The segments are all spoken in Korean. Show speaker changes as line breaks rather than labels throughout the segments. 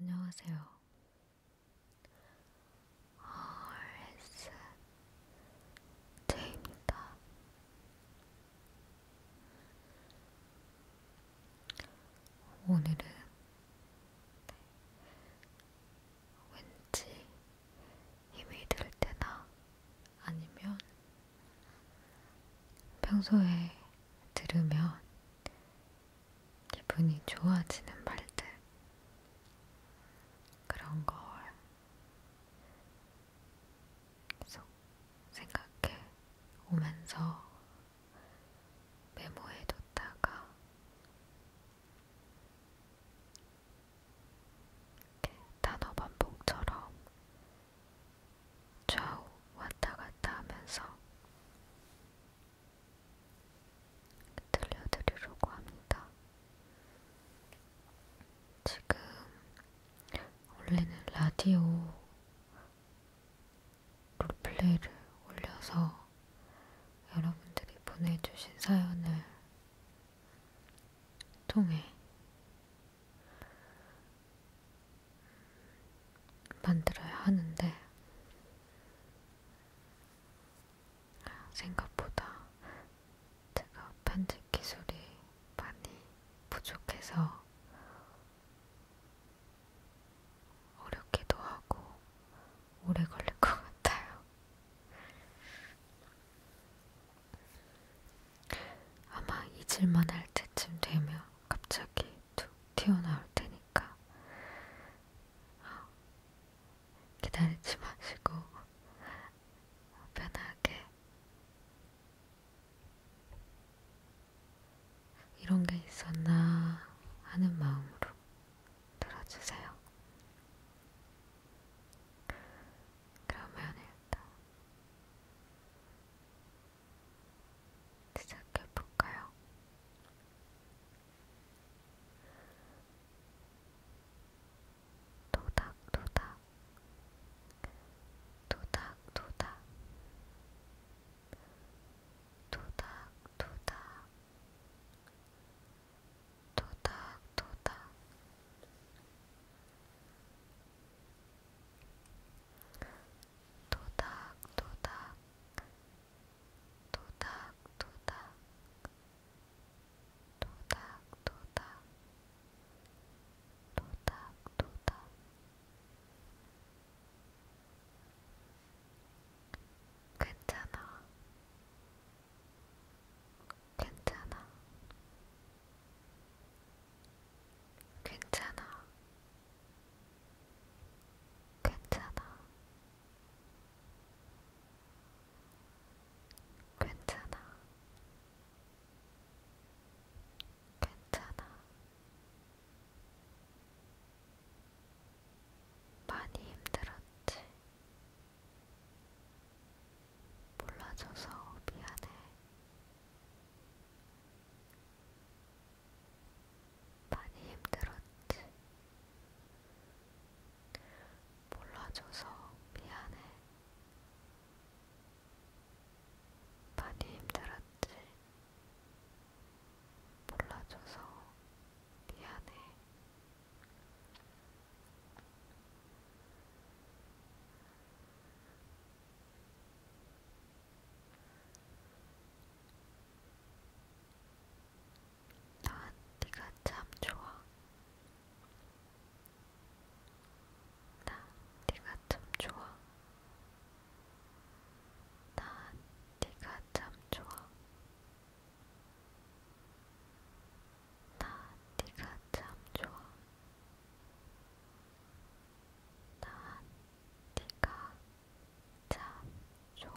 안녕하세요. RS 제입니다. 오늘은 왠지 힘이 들 때나 아니면 평소에 들으면 기분이 좋아지는 말들 그런 걸 계속 생각해 오면서 메모해뒀다가 이렇게 단어 반복처럼 좌우 왔다 갔다 하면서 들려드리려고 합니다. 지금 원래는 라디오 롤플레이를 올려서 여러분들이 보내주신 사연을 통해 만들어야 하는데 생각보다 제가 편집 기술이 많이 부족해서 어렵기도 하고 오래 걸릴 것 같아요. 아마 잊을만 할 때쯤 되면 갑자기 툭 튀어나올 테니까 기다리지 마시고 편하게 이런 게 있었나 하는 마음으로 들어주세요. 그러면 일단 시작해볼까요? 도닥도닥 도닥도닥 도닥도닥 도닥도닥 도닥도닥 도닥도닥 도닥도닥 도닥도닥 괜찮아 괜찮아 괜찮아 괜찮아. 괜찮아. 괜찮아. 많이 힘들었지. 몰라줘서 미안해. 많이 힘들었지. 몰라줘서 미안해. 많이 힘들었지. 몰라줘서 미안해. 난 네가 참 좋아. 난 네가 참 좋아. 난 네가 참 좋아. 난 네가 참 좋아. 난 네가 참 좋아.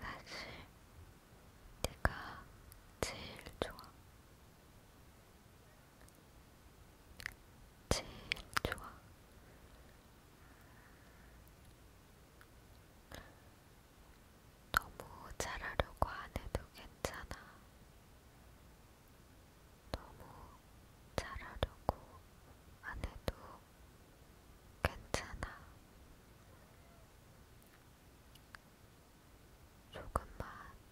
사실 내가 제일 좋아. 제일 좋아. 너무 잘하려고 안 해도 괜찮아. 너무 잘하려고 안 해도 괜찮아. 조금만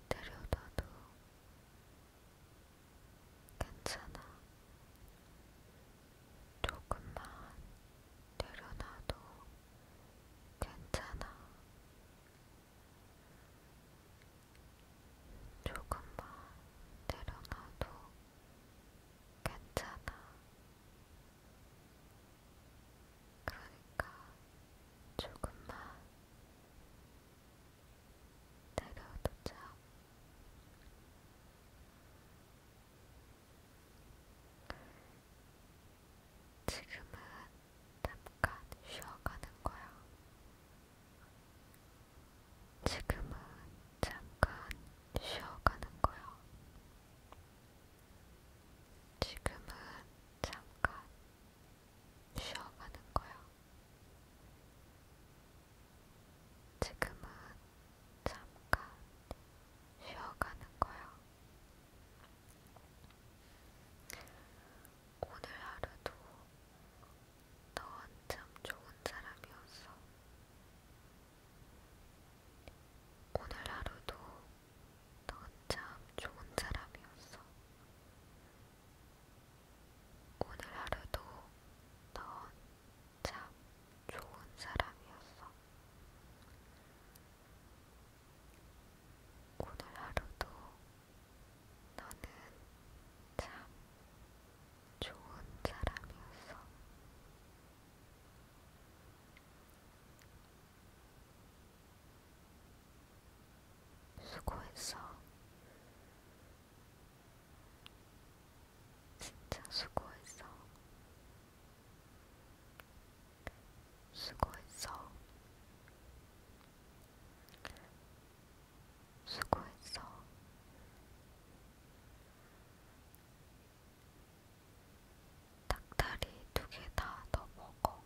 들여다도 괜찮아. 조금만 내려놔도 괜찮아. 조금만 내려놔도 괜찮아. 그러니까 조금만 내려두자. 지금은 잠깐 쉬어가는 거야. 지금은 잠깐 쉬어가는 거야. 지금은 잠깐 쉬어가는 거야. 지금은 잠깐 쉬어가는 거야. 오늘 하루도 넌참 좋은 사람이었어. 오늘 하루도 넌참 좋은 사람이었어. 오늘 하루도 넌참 좋은 사람이었어. 오늘 하루도 너는 참 좋은 사람이었어. 수고했어. 진짜 수고했어. 수고했어. 수고했어. 닭다리 두 개 다 더 먹어.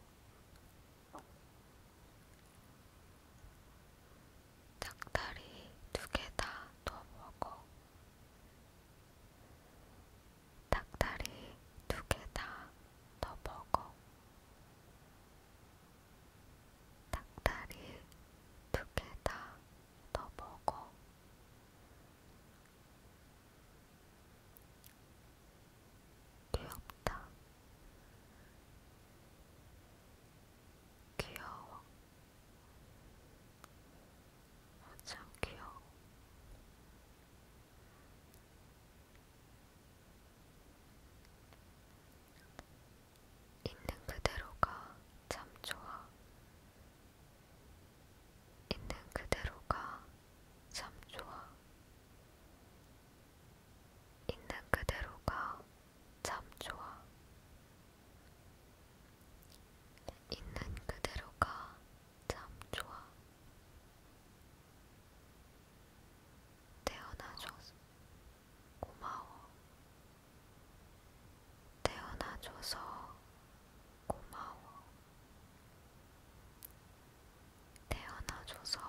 닭다리 두 개 다 더 먹어. 닭다리 두 개 다 더 먹어. 닭다리 두 개 다 더 먹어. 귀엽다. 귀여워. 참 귀여워. 있는 그대로가 참 좋아. 있는 그대로가 참 좋아. 있는 그대로가 참 좋아. 있는 그대로가 참 좋아. 태어나줘서 고마워. 태어나줘서 고마워. 태어나줘서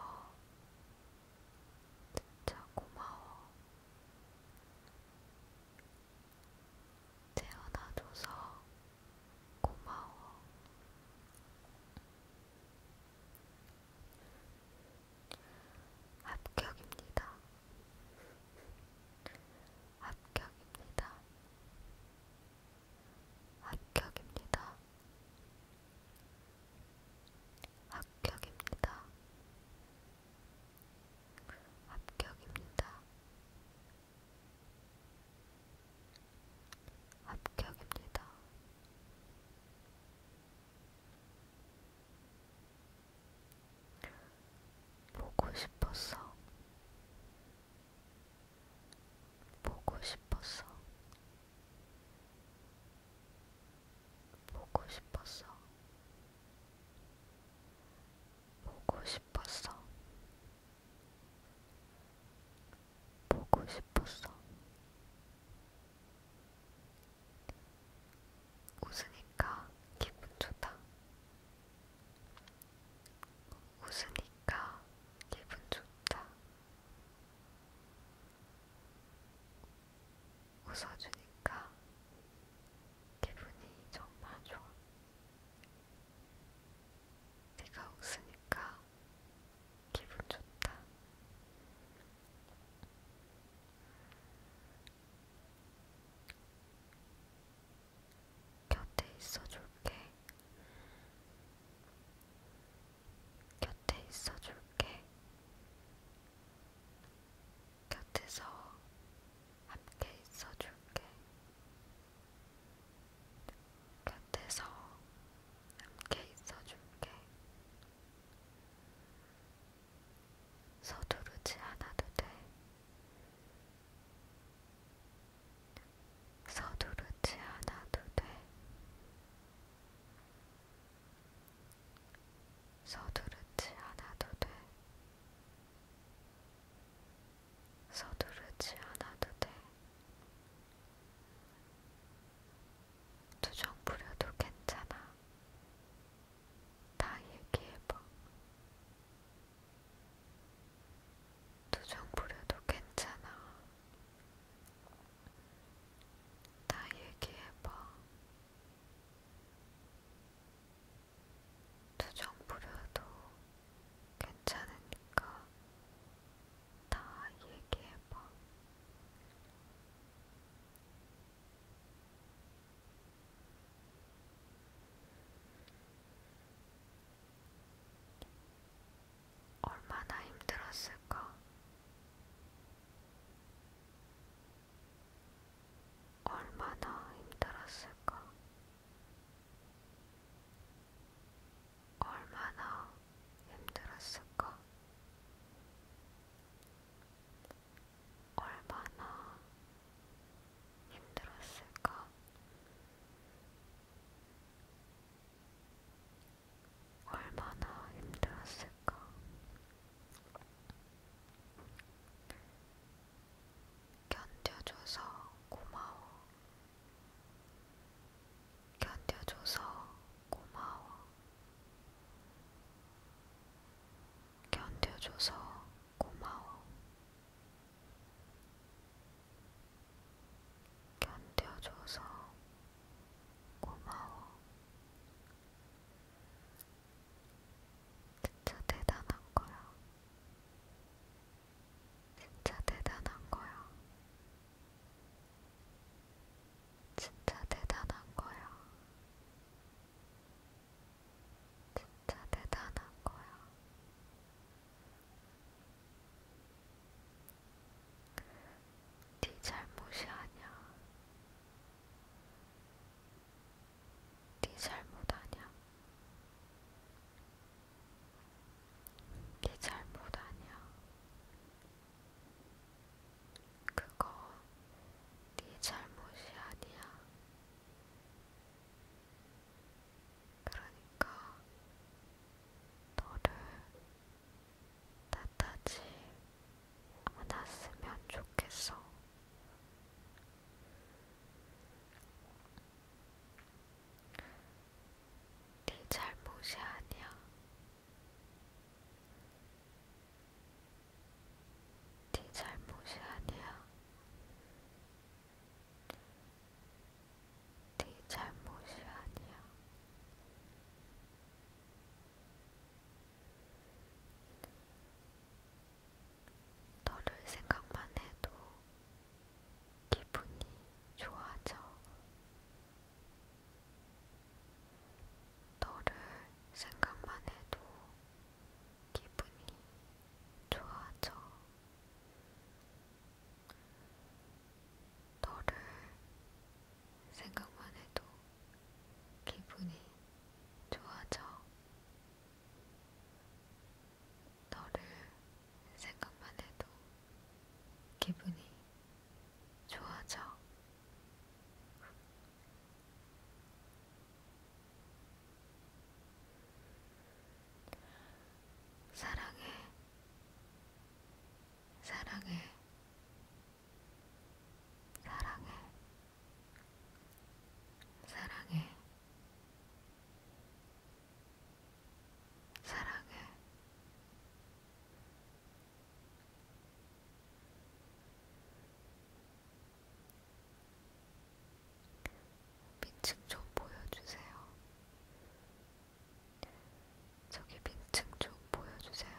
진짜 고마워. 태어나줘서 고마워. 합격입니다. 합격입니다. 합격입니다. 합격입니다. 합격입니다. 합격입니다. 보고 싶었어. 보고 싶었어. 보고 싶었어. 보고 싶었어. 보고 싶었어. 보고 싶었어. 웃으니까 기분 좋다. 웃으니까 기분 좋다. 웃어주니까 기분이 정말 좋아. 네가 웃으니까 기분 좋다. 곁에 있어줄게. 곁에 있어줄게. 곁에서 함께 있어줄게. 곁에서 함께 있어줄게. 서두르지 않아도 돼. 서두르지 않아도 돼. 서두르지 않아도 돼. 서두르지 않아도 돼. 투정 부려도 괜찮아. 다 얘기해봐. 투정 부려도 괜찮아. 다 얘기해봐. 투정 부려도 괜찮으니까 다 얘기해봐. 얼마나 힘들었을까? 얼마나 힘들었을까? 얼마나 힘들었을까? 얼마나 힘들었을까? 얼마나 힘들었을까? 견뎌줘서 고마워. 견뎌줘서 고마워. 견뎌줘서 고마워. 견뎌줘서 고마워. 진짜 대단한 거야. 진짜 대단한 거야. 진짜 대단한 거야. 진짜 대단한 거야. 네 잘못이 아니야. 네 잘못 아냐? 네 잘못 아냐? 그거 네 잘못이 아니야. 그러니까 너를 탓하지 않았으면 좋겠어. 네 잘못이 아니야. 네 잘못이 아니야. 네 잘못이 아니야. 너를 생각만 해도 기분이 좋아져. 너를 생각만 해도 기분이 좋아져. 너를 생각만 해도 기분이 좋아져. 너를 생각만 해도 기분이 좋아져. 사랑해, 사랑해, 사랑해, 사랑해. 사랑해. 민증 좀 보여주세요. 저기 민증 좀 보여주세요.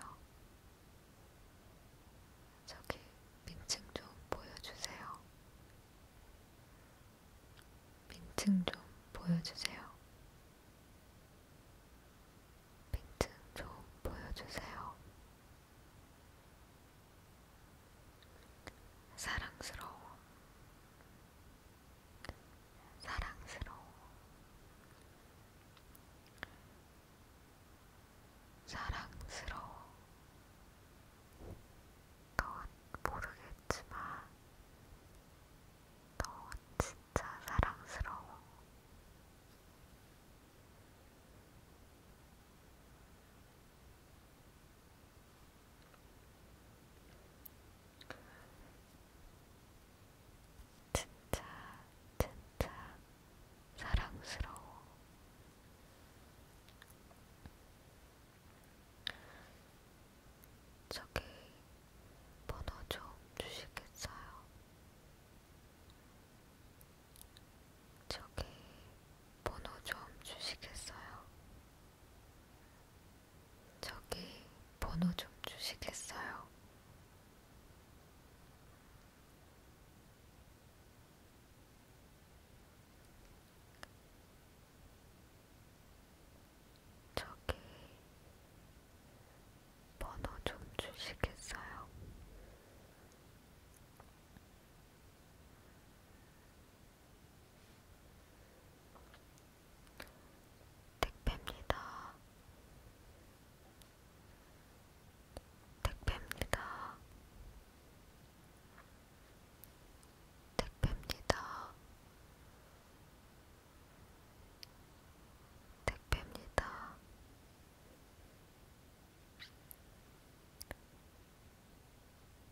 저기 민증 좀 보여주세요. 민증 좀 보여주세요. 민증 좀 보여주세요. 사랑스러워. 사랑스러워. 사랑스러워. 너는 모르겠지만, 너는 진짜 사랑스러워. 진짜, 진짜, 사랑스러워. 저기 번호 좀 주시겠어요? 저기 번호 좀 주시겠어요? 저기 번호 좀 주시겠어요? 저기 번호 좀 주시겠어요? 택배입니다. 택배입니다. 택배입니다. 택배입니다.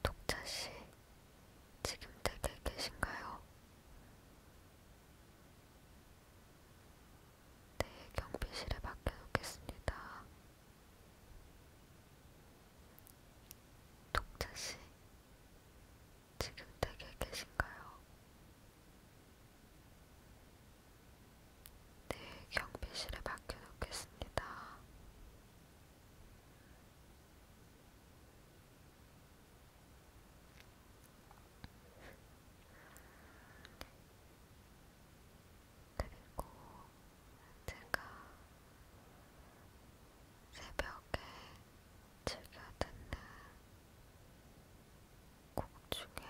독자씨, 지금 댁에 계신가요? 네, 경비실에 맡겨놓겠습니다. 독자씨, 지금 댁에 계신가요? 네, 경비실에 맡겨놓겠습니다. 그리고 제가 새벽에 즐겨 듣는 곡 중에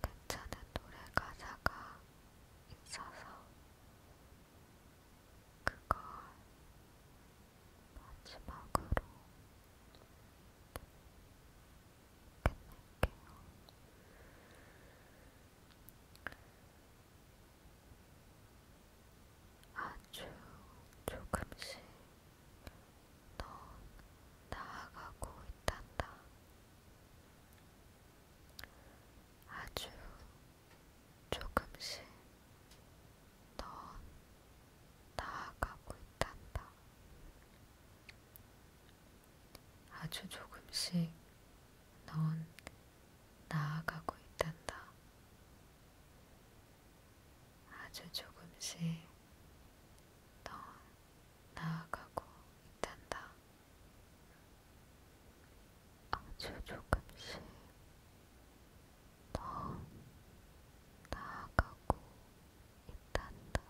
괜찮은 노래 가사가 있어서 그걸 마지막으로 아주 조금씩 더 나아가고 있단다. 아주 조금씩 더 나아가고 있단다. 아주 조금씩 넌 나아가고 있단다. 아주 조금씩 넌 나아가고 있단다. 아주 조금씩 더 나아가고 있다 한다.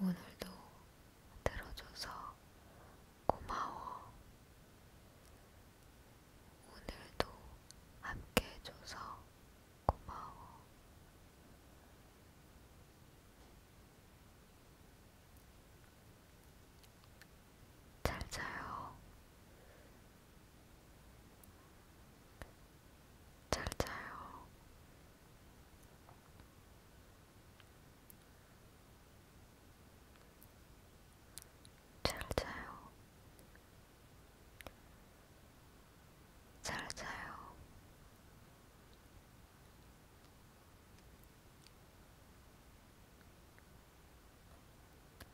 오늘도 들어줘서 고마워. 오늘도 함께 해줘서 고마워. 잘 자요. 잘 자요. 잘 자요. 잘 자요. 잘 자요.